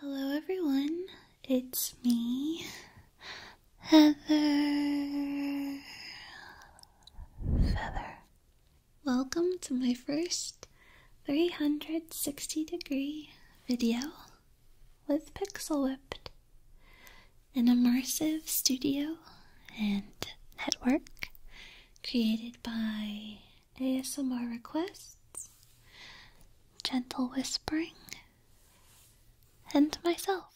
Hello everyone, it's me, Heather Feather. Welcome to my first 360 degree video with Pixel Whipped, an immersive studio and network created by ASMR requests, gentle whispering, and myself.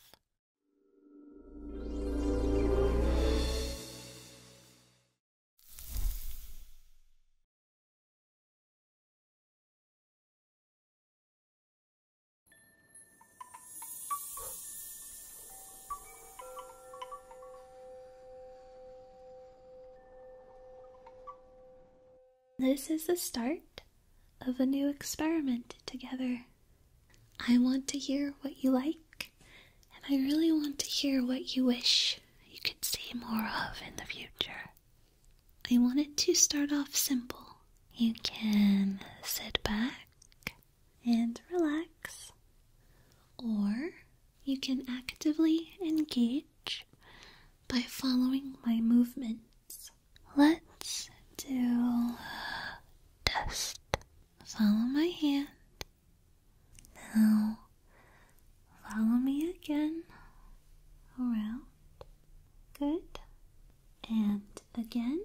This is the start of a new experiment together. I want to hear what you like, and I really want to hear what you wish you could see more of in the future. I want it to start off simple. You can sit back and relax, or you can actively engage by following my movements. Let's do a test. Follow my hand. Now, follow me again around. Good. And again,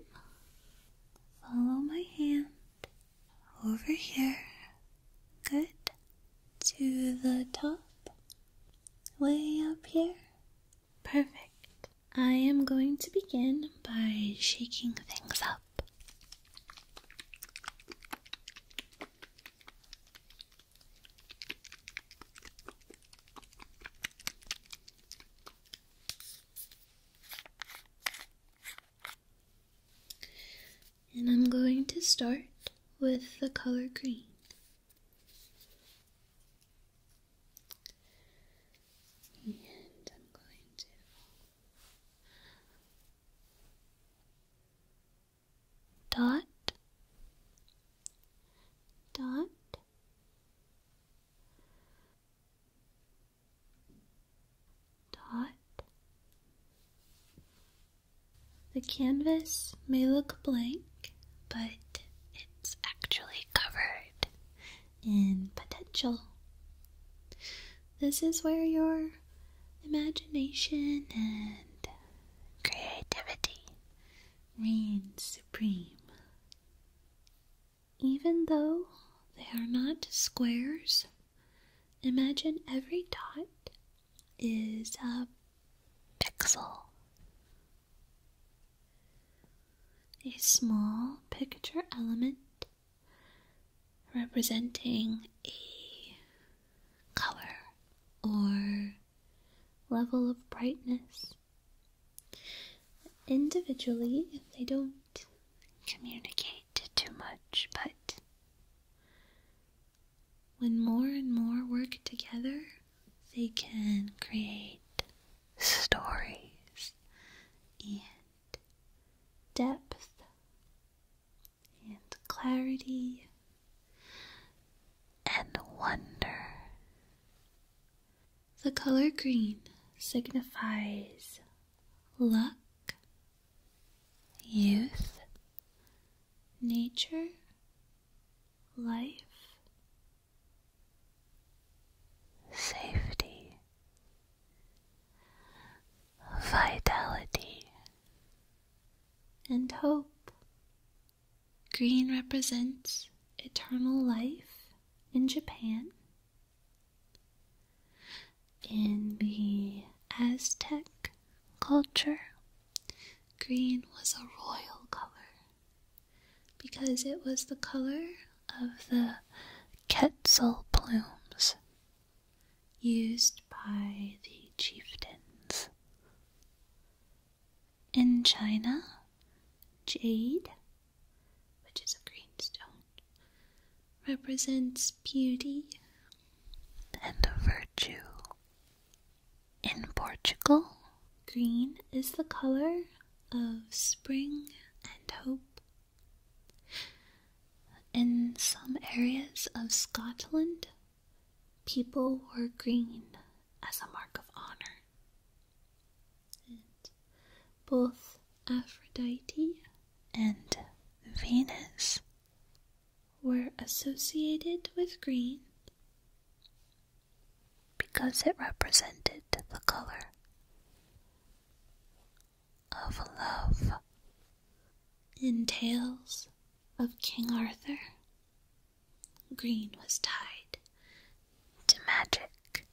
follow my hand over here Good. To the top. Way up here. Perfect. I am going to begin by shaking things up. And I'm going to start with the color green. And I'm going to dot, dot, dot, the canvas may look blank, but it's actually covered in potential. This is where your imagination and creativity reign supreme. Even though they are not squares, imagine every dot is a pixel. A small picture element representing a color or level of brightness. Individually, they don't communicate too much, but when more and more work together, they can create stories and depth and clarity and wonder. The color green signifies luck youth, nature, life, safety, vitality, and hope. Green represents eternal life in Japan. In the Aztec culture, green was a royal color because it was the color of the quetzal plumes used by the chieftains. In China, jade, which is a green stone, represents beauty and virtue. In Portugal, green is the color of spring and hope. In some areas of Scotland, people wore green as a mark of honor. both Aphrodite and Venus were associated with green because it represented the color of love. In tales of King Arthur, green was tied to magic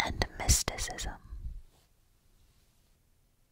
and mysticism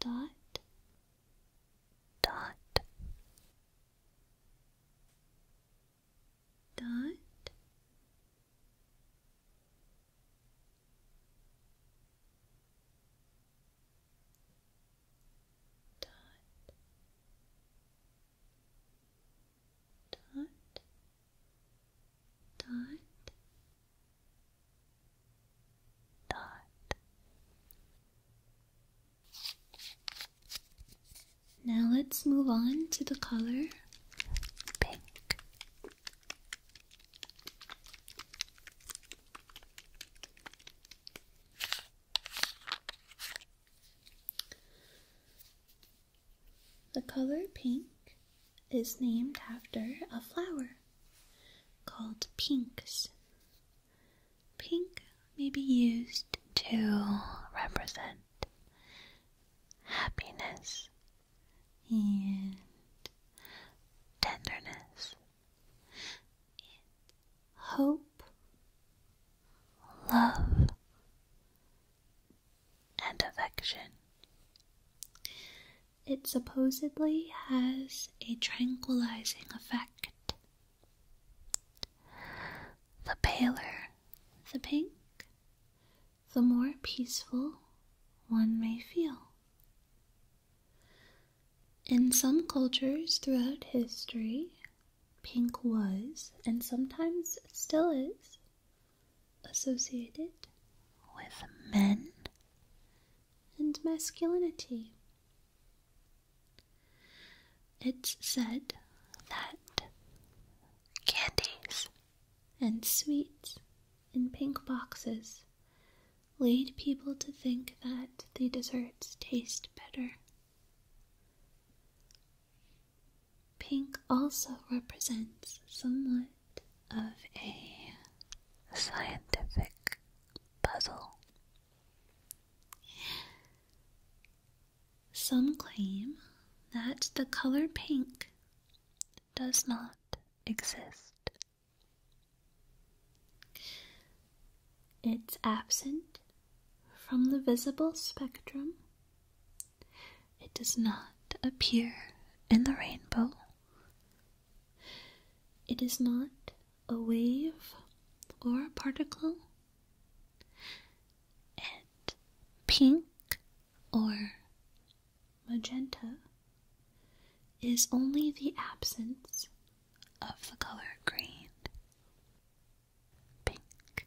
dot dot dot Dot. Dot dot dot. Now let's move on to the color pink. The color pink is named after a flower called pinks. Pink may be used to represent happiness and tenderness hope, love, and affection. It supposedly has a tranquilizing effect. The paler the pink, the more peaceful one may feel. In some cultures throughout history, pink was, and sometimes still is, associated with men and masculinity. It's said that candies and sweets in pink boxes lead people to think that the desserts taste better. Pink also represents somewhat of a scientific puzzle. Some claim that the color pink does not exist. It's absent from the visible spectrum. It does not appear in the rainbow. It is not a wave or a particle. And pink or magenta is only the absence of the color green. Pink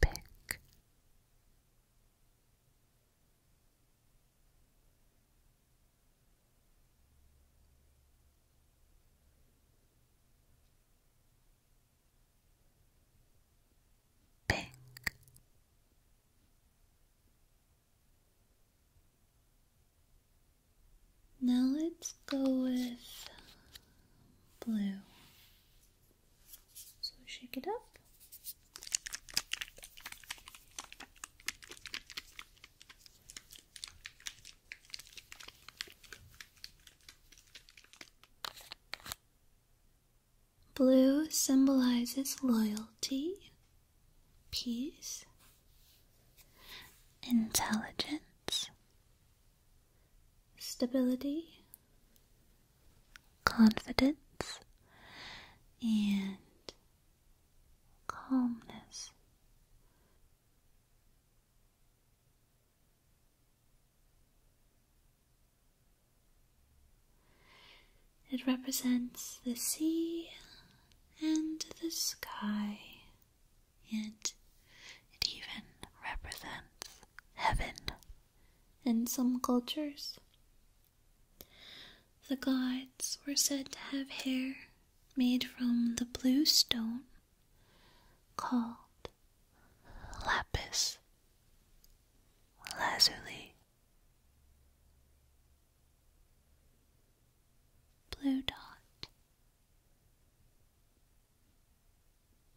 pick pick now let's go with blue so shake it up. Blue symbolizes loyalty, peace, intelligence, stability, confidence, and calmness. It represents the sea and the sky, and it even represents heaven in some cultures. The gods were said to have hair made from the blue stone called lapis lazuli. Blue dot,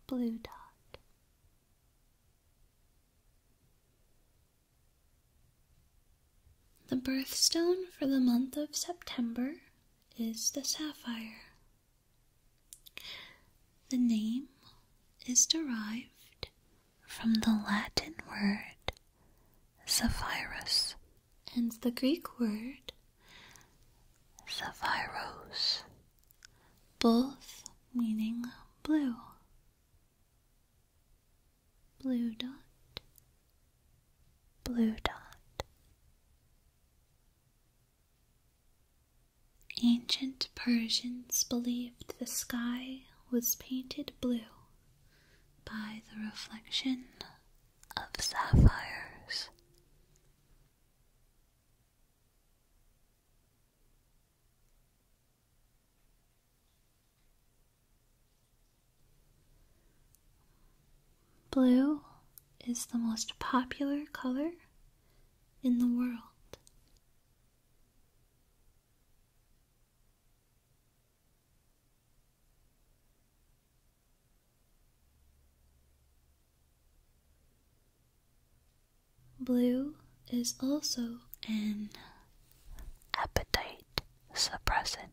blue dot. The birthstone for the month of September is the sapphire. The name is derived from the Latin word sapphirus and the Greek word sapphirose, both meaning blue. Blue dot, blue dot. Ancient Persians believed the sky was painted blue by the reflection of sapphires. Blue is the most popular color in the world. Blue is also an appetite suppressant,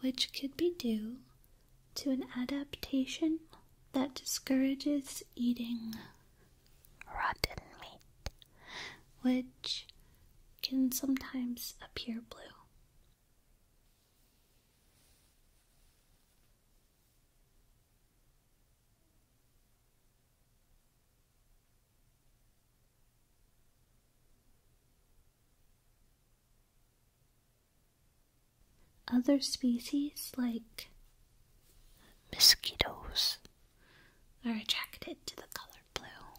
which could be due to an adaptation that discourages eating rotten meat, which can sometimes appear blue. Other species, like mosquitoes, are attracted to the color blue.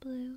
Blue,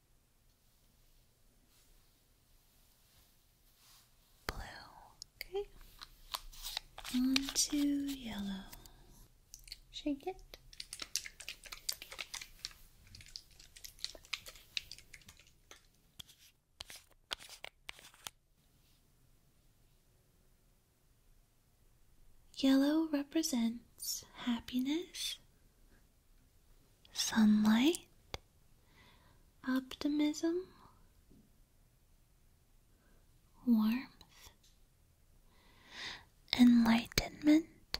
blue, okay, onto yellow. Shake it. Yellow represents happiness Sunlight? Optimism? Warmth? Enlightenment?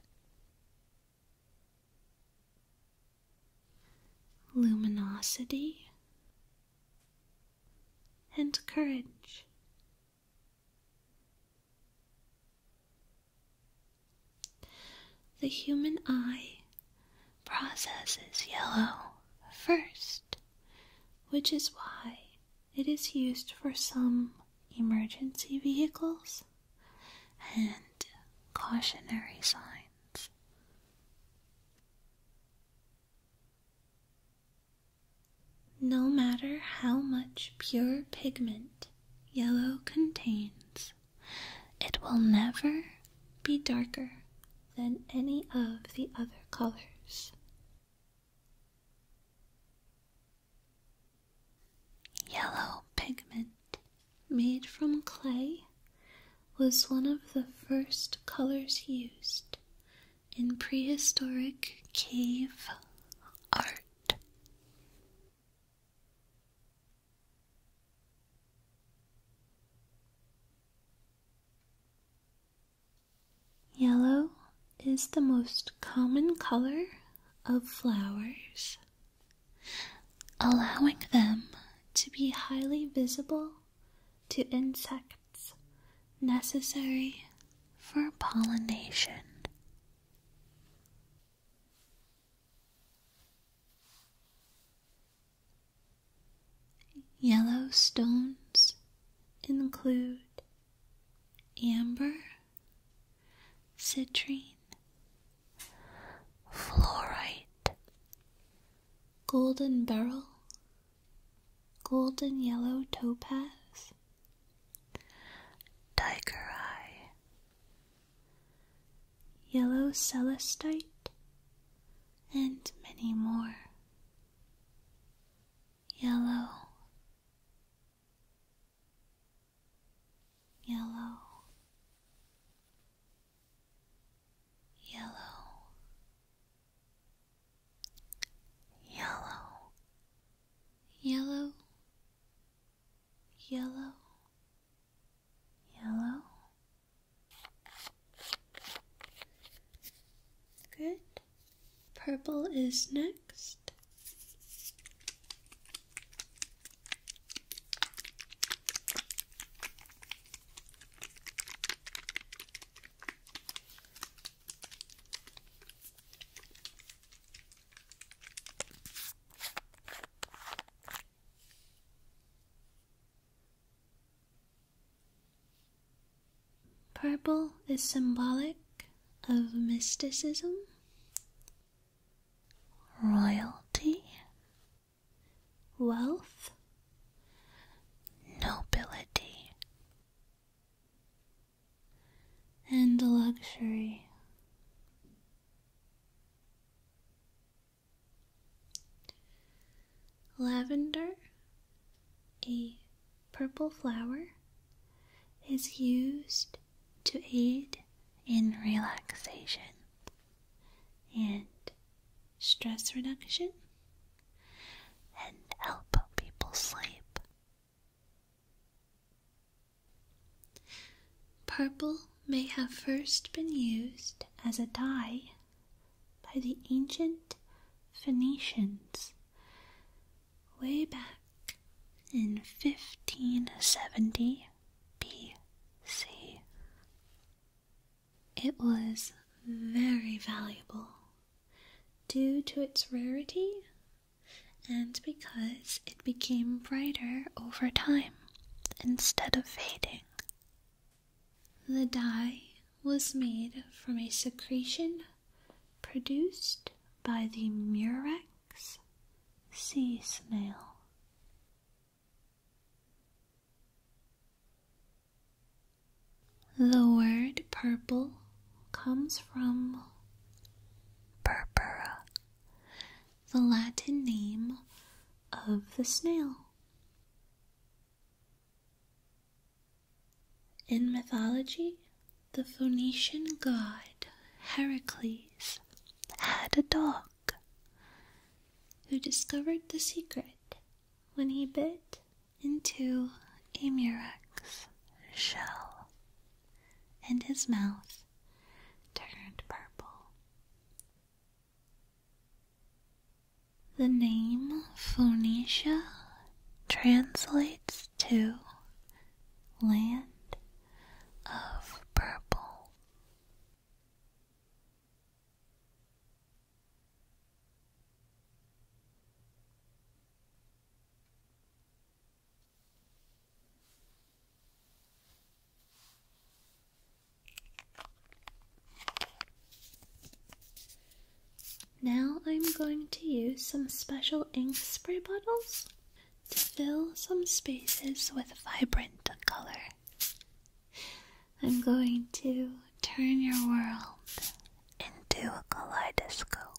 Luminosity? And courage. The human eye processes yellow first, which is why it is used for some emergency vehicles and cautionary signs. No matter how much pure pigment yellow contains, it will never be darker than any of the other colors. Yellow pigment made from clay was one of the first colors used in prehistoric cave art. Yellow is the most common color of flowers, allowing them to be highly visible to insects necessary for pollination. Yellow stones include amber, citrine, fluorite, golden beryl, golden yellow topaz, tiger yellow celestite, and many more. Yellow, yellow, yellow, yellow, yellow, yellow, yellow. Good. Purple is next. Purple is symbolic of mysticism, royalty, wealth, nobility, and luxury. Lavender, a purple flower, is used to aid in relaxation and stress reduction and help people sleep. Purple may have first been used as a dye by the ancient Phoenicians way back in 1570 BC. It was very valuable due to its rarity and because it became brighter over time instead of fading. The dye was made from a secretion produced by the murex sea snail. The word purple comes from purpura, the Latin name of the snail. In mythology, the Phoenician god Heracles had a dog who discovered the secret when he bit into a murex shell and his mouth turned purple. The name Phoenicia translates to land of purple. Now I'm going to use some special ink spray bottles to fill some spaces with vibrant color. I'm going to turn your world into a kaleidoscope.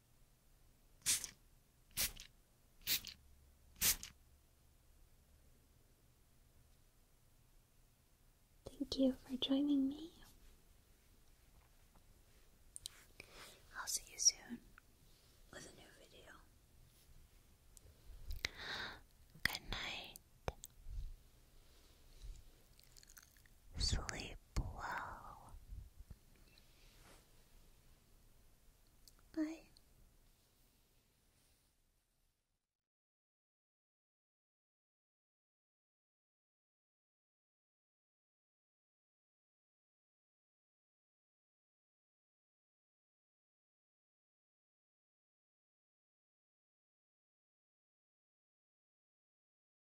Thank you for joining me. I'll see you soon with a new video. Good night. Sleep well. Bye.